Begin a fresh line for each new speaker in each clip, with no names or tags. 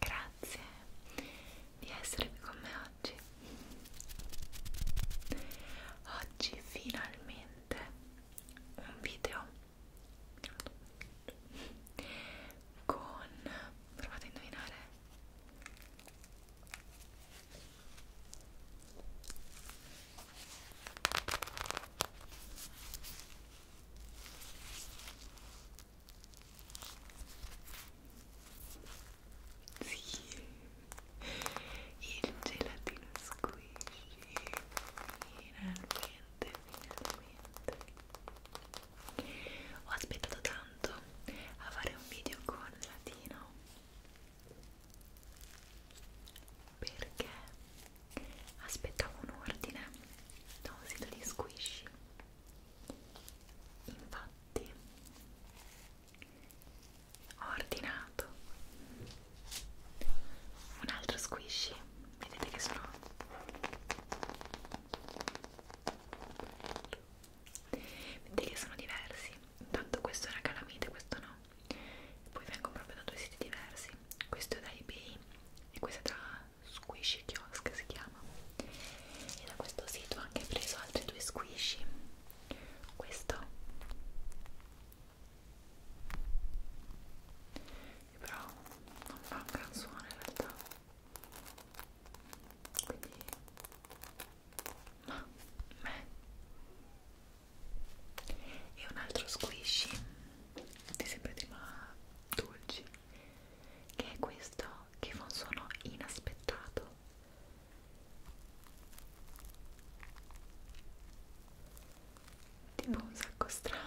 Grazie di essere qui con me oggi. Oggi finalmente un video con provate a indovinare sì, il gelatino squishy, finalmente, finalmente. Ho aspettato tanto a fare un video con latino perché aspettavo un ordine da un sito di squishy Infatti ho ordinato un altro squishy, vedete che sono vedete che sono diversi, intanto questo era calamite, questo no e poi vengono proprio da due siti diversi questo è da ebay e questo è da Squishy Kiosk si chiama e da questo sito ho anche preso altri due squishy questo che però non fa un gran suono in realtà quindi ma me e un altro squishy di sempre tema dolci che è questo che fa un suono inaspettato tipo un sacco strano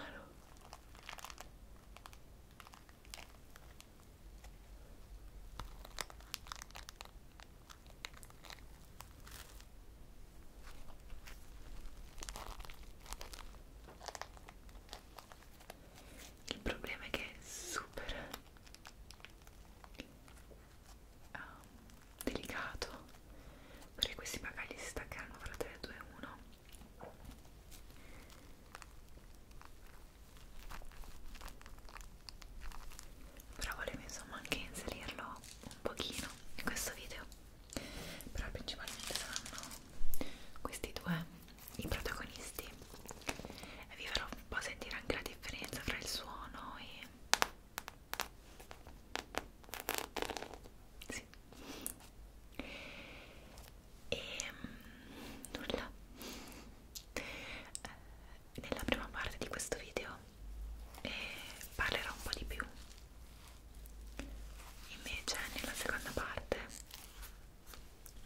il problema è che è super um, delicato perché questi bagagli si staccheranno fra 3, 2 e 1 però volevo insomma anche inserirlo un pochino in questo video però principalmente saranno questi due i protagonisti e vi farò un po' sentire anche la differenza fra il suono e sì. E ehm, nulla. Eh, nella prima parte di questo video eh, parlerò un po' di più invece nella seconda parte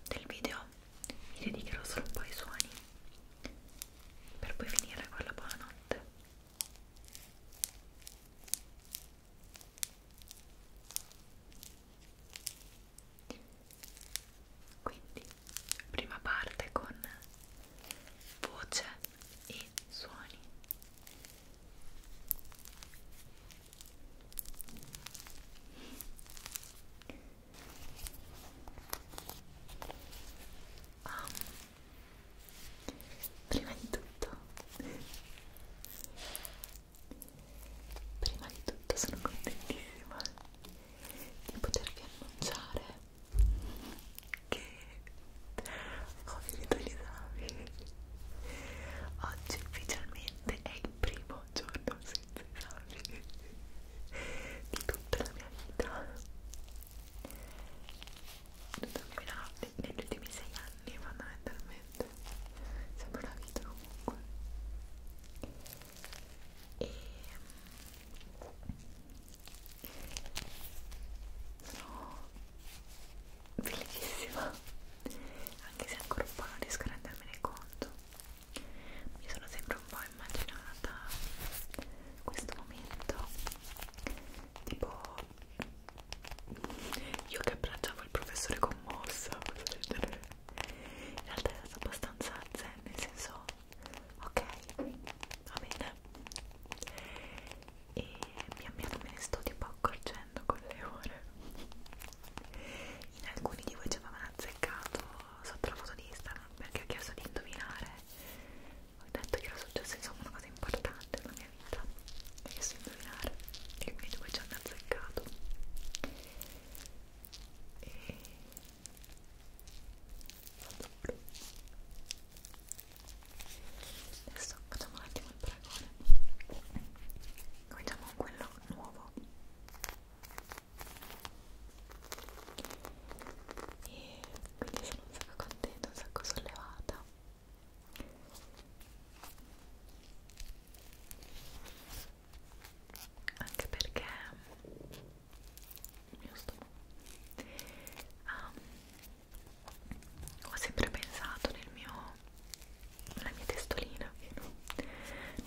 del video vi dedicherò solo un po' ai suoni per poi finire con la buonanotte quindi prima parte con voce e suoni Ah. Prima di tutto, prima di tutto sono contentissima di potervi annunciare che ho finito gli esami oggi ufficialmente è il primo giorno senza esami di tutta la mia vita Dormirò negli ultimi sei anni fondamentalmente sembra una vita comunque e sono mm, bellissima anche se ancora un po' non riesco a rendermene conto mi sono sempre un po' immaginata questo momento tipo io che abbracciavo il professore commossa in realtà è stato abbastanza zen nel senso ok va bene e pian piano me ne sto tipo accorgendo con le ore in alcuni di voi ci avevano azzeccato sotto la foto di Instagram perché ho chiesto di indovinare ho detto che era successo insomma una cosa importante nella mia vita ho chiesto di indovinare e quindi voi ci hanno azzeccato e adesso facciamo un attimo il paragone cominciamo con quello nuovo e quindi sono un sacco contenta, un sacco sollevata anche perché mm, il mio stomaco ha ah, ho sempre pensato nel mio nella mia testolina che no,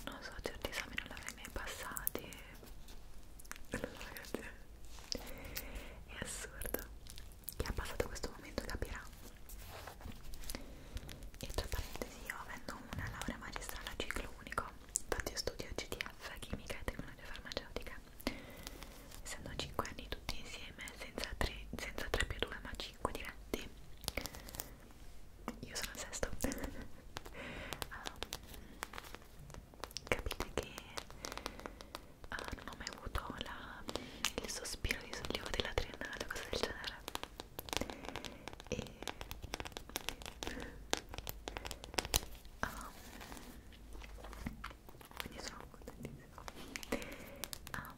non so certi esami non l'avrei mai passati e... non so, ragazzi è assurdo chi ha passato questo momento capirà e tra parentesi io avendo una laurea magistrale a ciclo unico infatti io studio GTF chimica e tecnologia farmaceutica essendo 5 anni tutti insieme senza 3, senza 3 più 2 ma 5 diretti io sono il sesto um, capite che uh, non ho mai avuto la, il sospiro di sollievo della triennale o cosa del genere e um, quindi sono contentissima ah,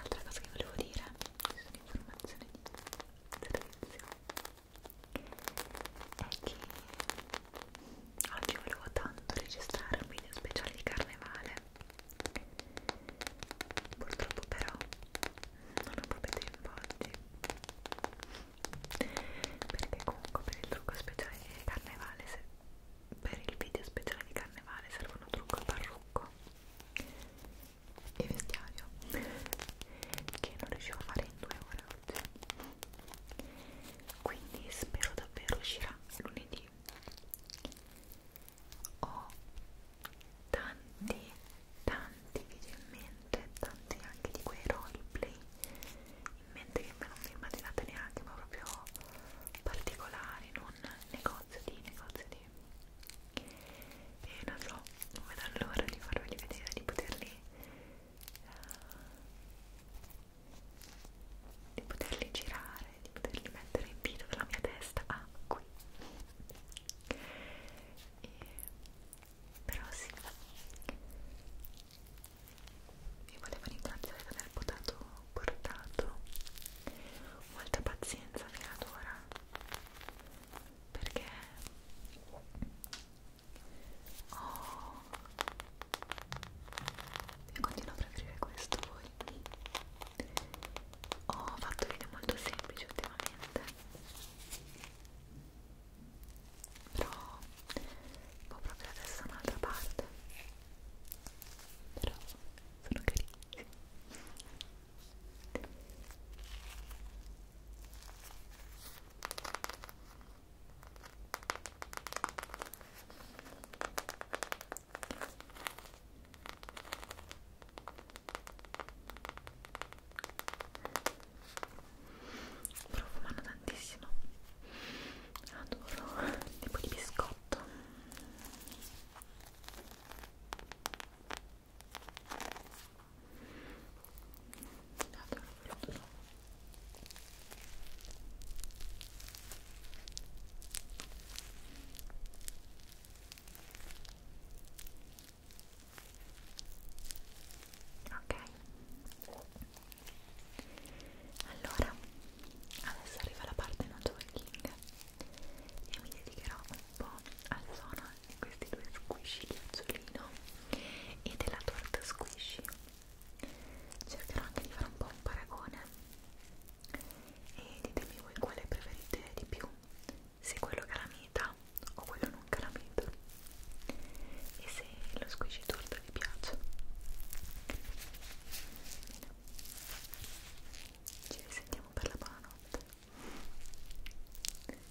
altra cosa che volevo dire ci sono informazioni di servizio è che oggi volevo tanto registrare un video speciale di carnevale purtroppo però non ho proprio tempo oggi perché comunque per il trucco speciale di carnevale se per il video speciale di carnevale servono trucco e parrucco e vestiario che non riuscivo a fare in due ore oggi quindi spero davvero uscirà lunedì ho tanti tanti video in mente tanti anche di quei roleplay in mente che non vi immaginate neanche, ma proprio particolari, non negozio di negozio di e non so, non vedo l'ora di farveli vedere, di poterli uh, di poterli girare, di poterli mettere in video dalla mia testa a ah, qui e, però sì vi volevo ringraziare per aver potato, portato molta pazienza fino ad ora perché oh, io continuo a preferire questo voi ho fatto video molto semplici ultimamente però un po' proprio la testa un'altra parte però sono carini profumano da tantissimo adoro tipo di biscotto adoro questo ok allora adesso arriva la parte non jogging e mi dedicherò un po' al suono di questi due squishy di azzolino e della torta squishy cercherò anche di fare un po' un paragone e ditemi voi quale preferite di più se quello calamita o quello non calamita e se lo squishy torta volta vi piace ci risentiamo per la buonanotte Buonanotte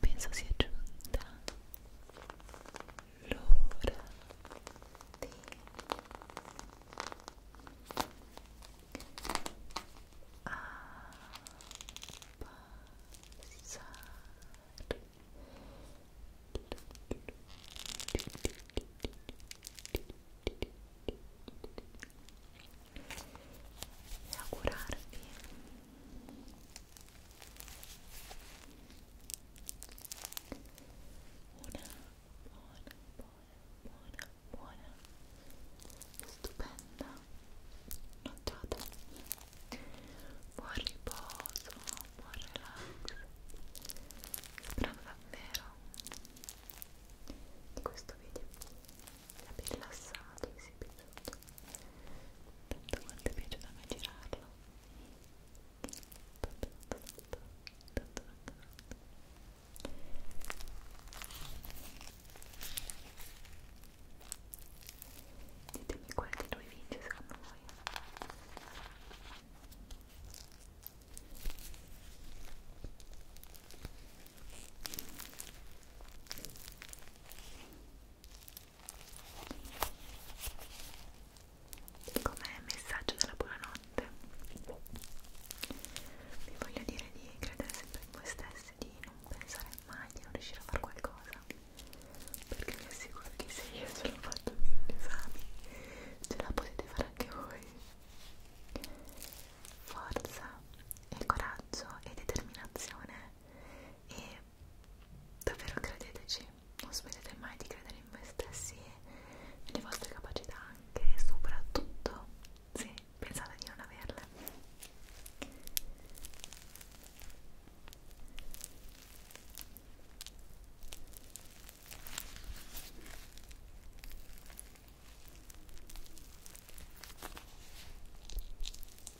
penso sia giunta l'ora di abbassare e augurarvi una buona, buona, buona, buona, stupenda nottata. Buon riposo, buon relax. Spero davvero di questo video vi abbia rilassato, vi Tanto quanto piace da me girarlo. Tanto, tanto, tanto, tanto, tanto. Ditemi quale di noi vince secondo voi. Ecco come messaggio della buonanotte vi voglio dire di credere sempre in voi stessi di non pensare mai di non riuscire a fare qualcosa perché vi assicuro che se io ce l'ho fatto con gli esami ce la potete fare anche voi forza e coraggio e determinazione e Davvero credeteci, non smettete mai di credere in voi stessi e nelle vostre capacità anche e soprattutto se pensate di non averle.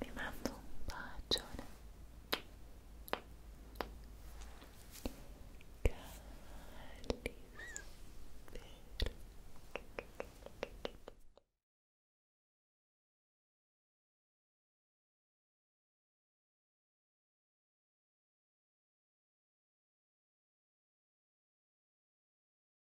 vi mando un bacione